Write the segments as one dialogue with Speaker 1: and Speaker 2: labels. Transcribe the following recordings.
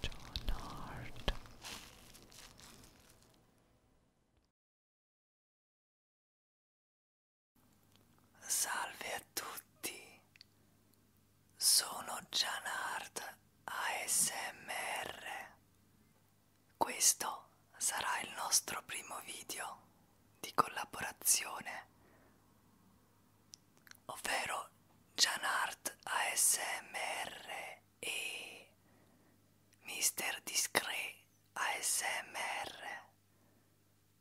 Speaker 1: John Hart Salve a tutti, sono John Hart ASMR. Questo sarà il nostro primo video di collaborazione ovvero Janart ASMR e Mister Discre ASMR.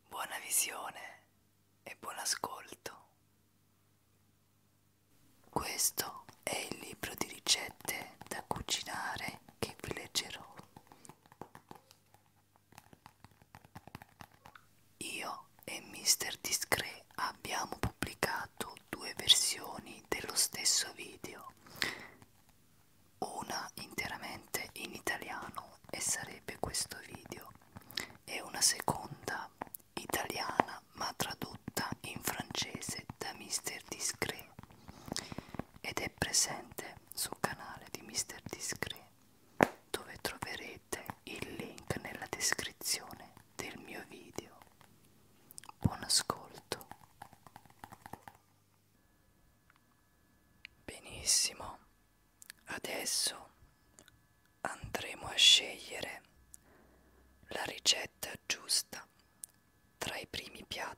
Speaker 1: Buona visione e buon ascolto. Questo è il libro di ricette da cucinare che vi leggerò. Io e Mr. Discret abbiamo pubblicato due versioni dello stesso video, una interamente in italiano e sarebbe questo video, e una seconda italiana ma tradotta in francese da Mr. Discret ed è presente sul canale di Mr. Discret dove troverete il link nella descrizione del mio video. Buon ascolto. Benissimo, adesso andremo a scegliere la ricetta giusta tra i primi piatti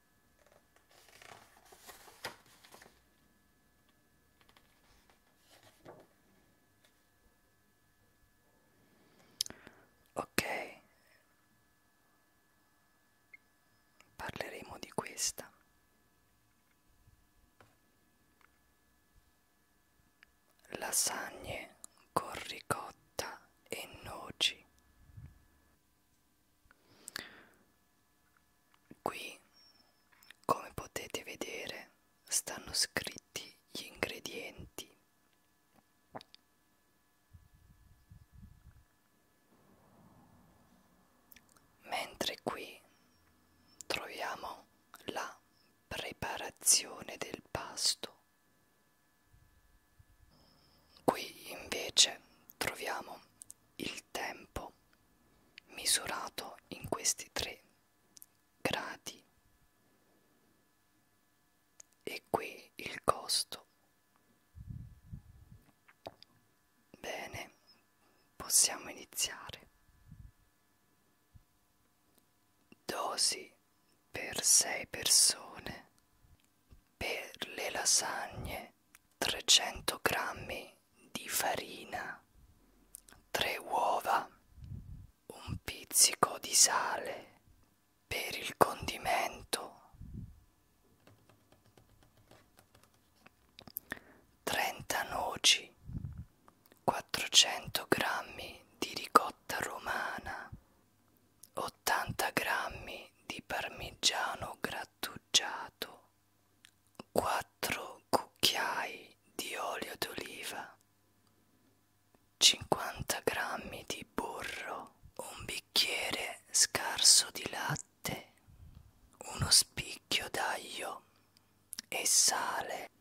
Speaker 1: Ok, parleremo di questa. Lasagne con ricotta e noci. Qui, come potete vedere, stanno scritti gli ingredienti. Mentre qui troviamo la preparazione del pasto. Qui invece troviamo il tempo misurato in questi tre gradi e qui il costo. Bene, possiamo iniziare. Dosi per sei persone per le lasagne 300 g di farina, 3 uova, un pizzico di sale per il condimento, 30 noci, 400 g di ricotta romana, 80 grammi di parmigiano grattugiato, 4 cucchiai di olio d'oliva, 50 grammi di burro, un bicchiere scarso di latte, uno spicchio d'aglio e sale.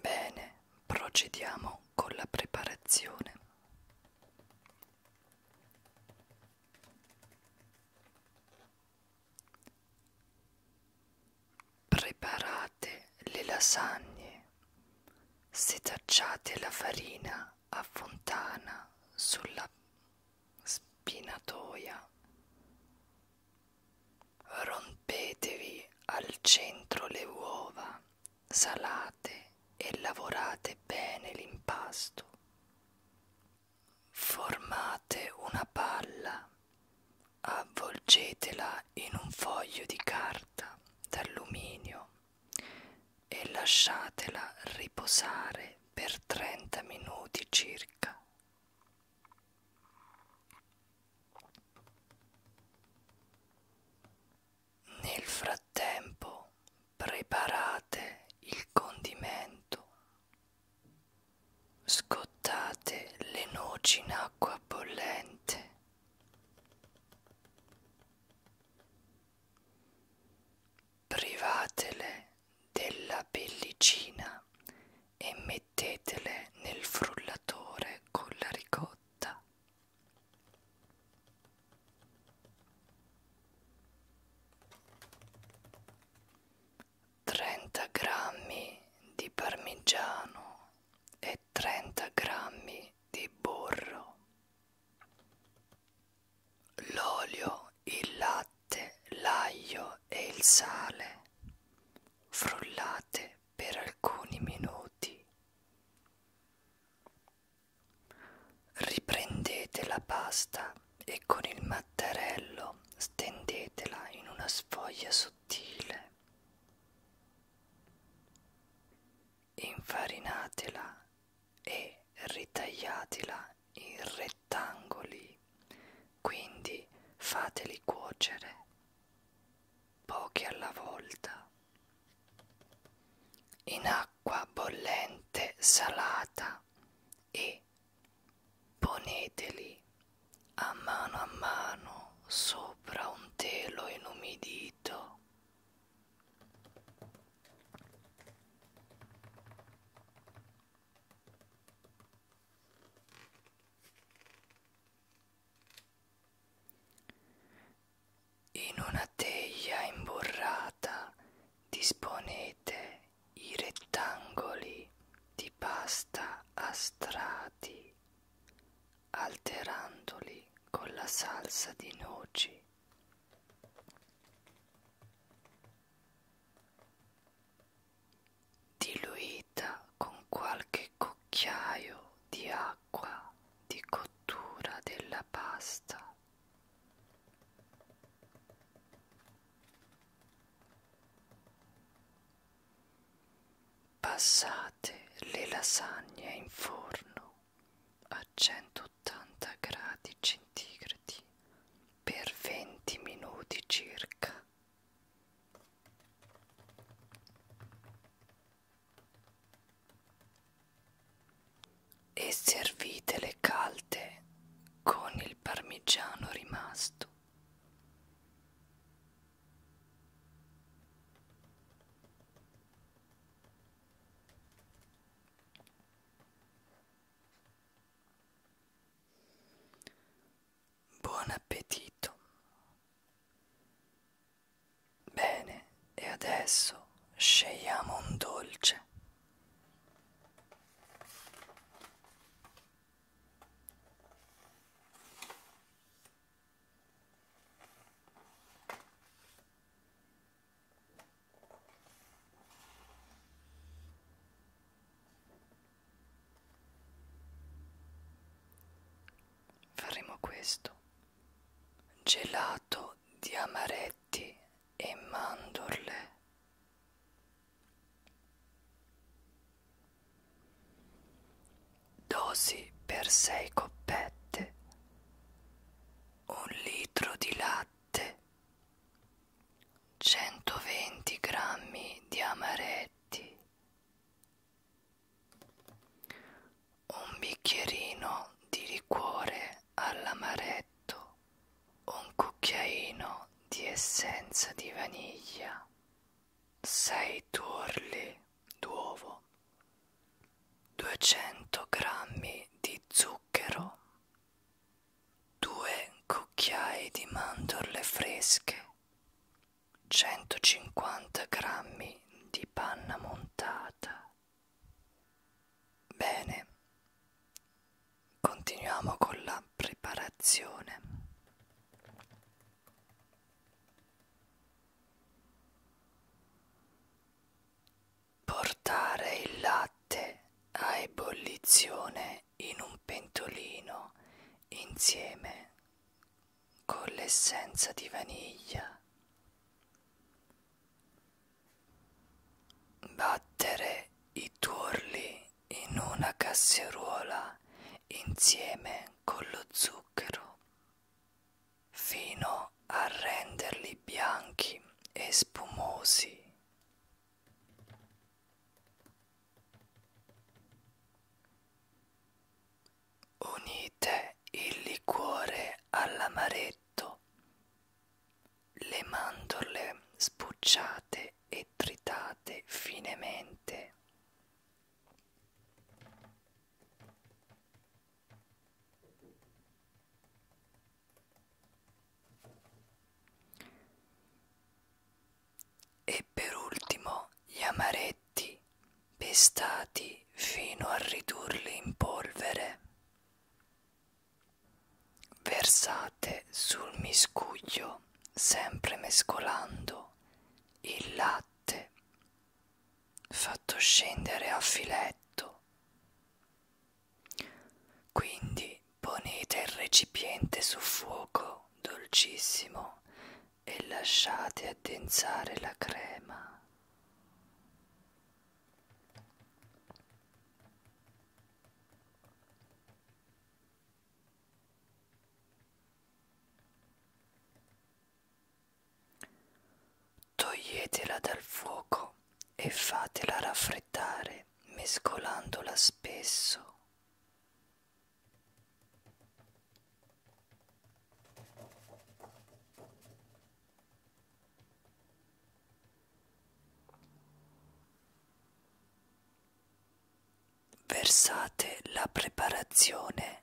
Speaker 1: Bene, procediamo con la preparazione. Preparate le lasagne, setacciate la farina a fontana sulla spinatoia. Rompetevi al centro le uova, salate e lavorate bene l'impasto. Formate una palla, avvolgetela in un foglio di carta d'alluminio e lasciatela riposare per 30 minuti circa. Nel frattempo preparate il condimento. Scottate le noci in acqua bollente. Privatele della pellicina e mettetele nel frullatore con la ricotta. Trenta grammi di parmigiano e trenta grammi di burro l'olio, il latte, l'aglio e il sale. Frullate per alcuni minuti. Riprendete la pasta e con il mattarello stendetela in una sfoglia sottile. Infarinatela e ritagliatela in rettangoli rettangoli, quindi fateli cuocere pochi alla volta. In acqua bollente salata e poneteli a mano a mano sopra un telo inumidito. In una teglia imburrata disponete i rettangoli di pasta a strati, alterandoli con la salsa di noci diluita con qualche cucchiaio di acqua di cottura della pasta. Passate le lasagne in forno a 100 180 gradi centigradi per 20 minuti circa. E servitele calde con il parmigiano rimasto. Buon appetito. Bene, e adesso scegliamo un dolce. Faremo questo. Gelato di amaretti e mandorle. Dosi per sei coppette un litro di latte, 120 grammi di amaretti, un bicchierino di liquore all'amaretto, un cucchiaino di essenza di vaniglia, 6 tuorli d'uovo 200 grammi di zucchero, 2 cucchiai di mandorle fresche, 150 grammi di panna montata. Bene, continuiamo con la preparazione. Portare il latte a ebollizione in un pentolino insieme con l'essenza di vaniglia. Battere i tuorli in una casseruola insieme con lo zucchero fino a renderli bianchi e spumosi. Unite il liquore all'amaretto, le mandorle sbucciate e tritate finemente. E per ultimo gli amaretti pestati fino a ridurli in polvere. Versate sul miscuglio, sempre mescolando, il latte fatto scendere a filetto. Quindi ponete il recipiente su fuoco dolcissimo e lasciate addensare la crema. Toglietela dal fuoco e fatela raffreddare mescolandola spesso. Versate la preparazione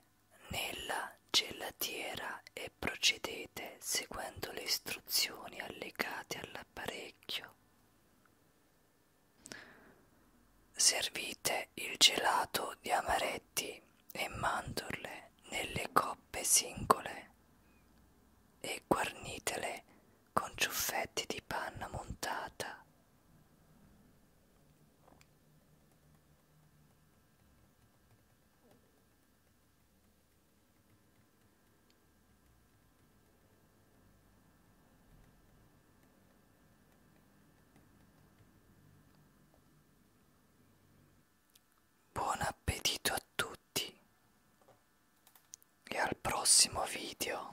Speaker 1: nella gelatiera e procedete seguendo le istruzioni allegate all'apparecchio. Servite il gelato di amaretti e mandorle nelle coppe singole e guarnitele con ciuffetti di panna montata. Buon appetito a tutti e al prossimo video.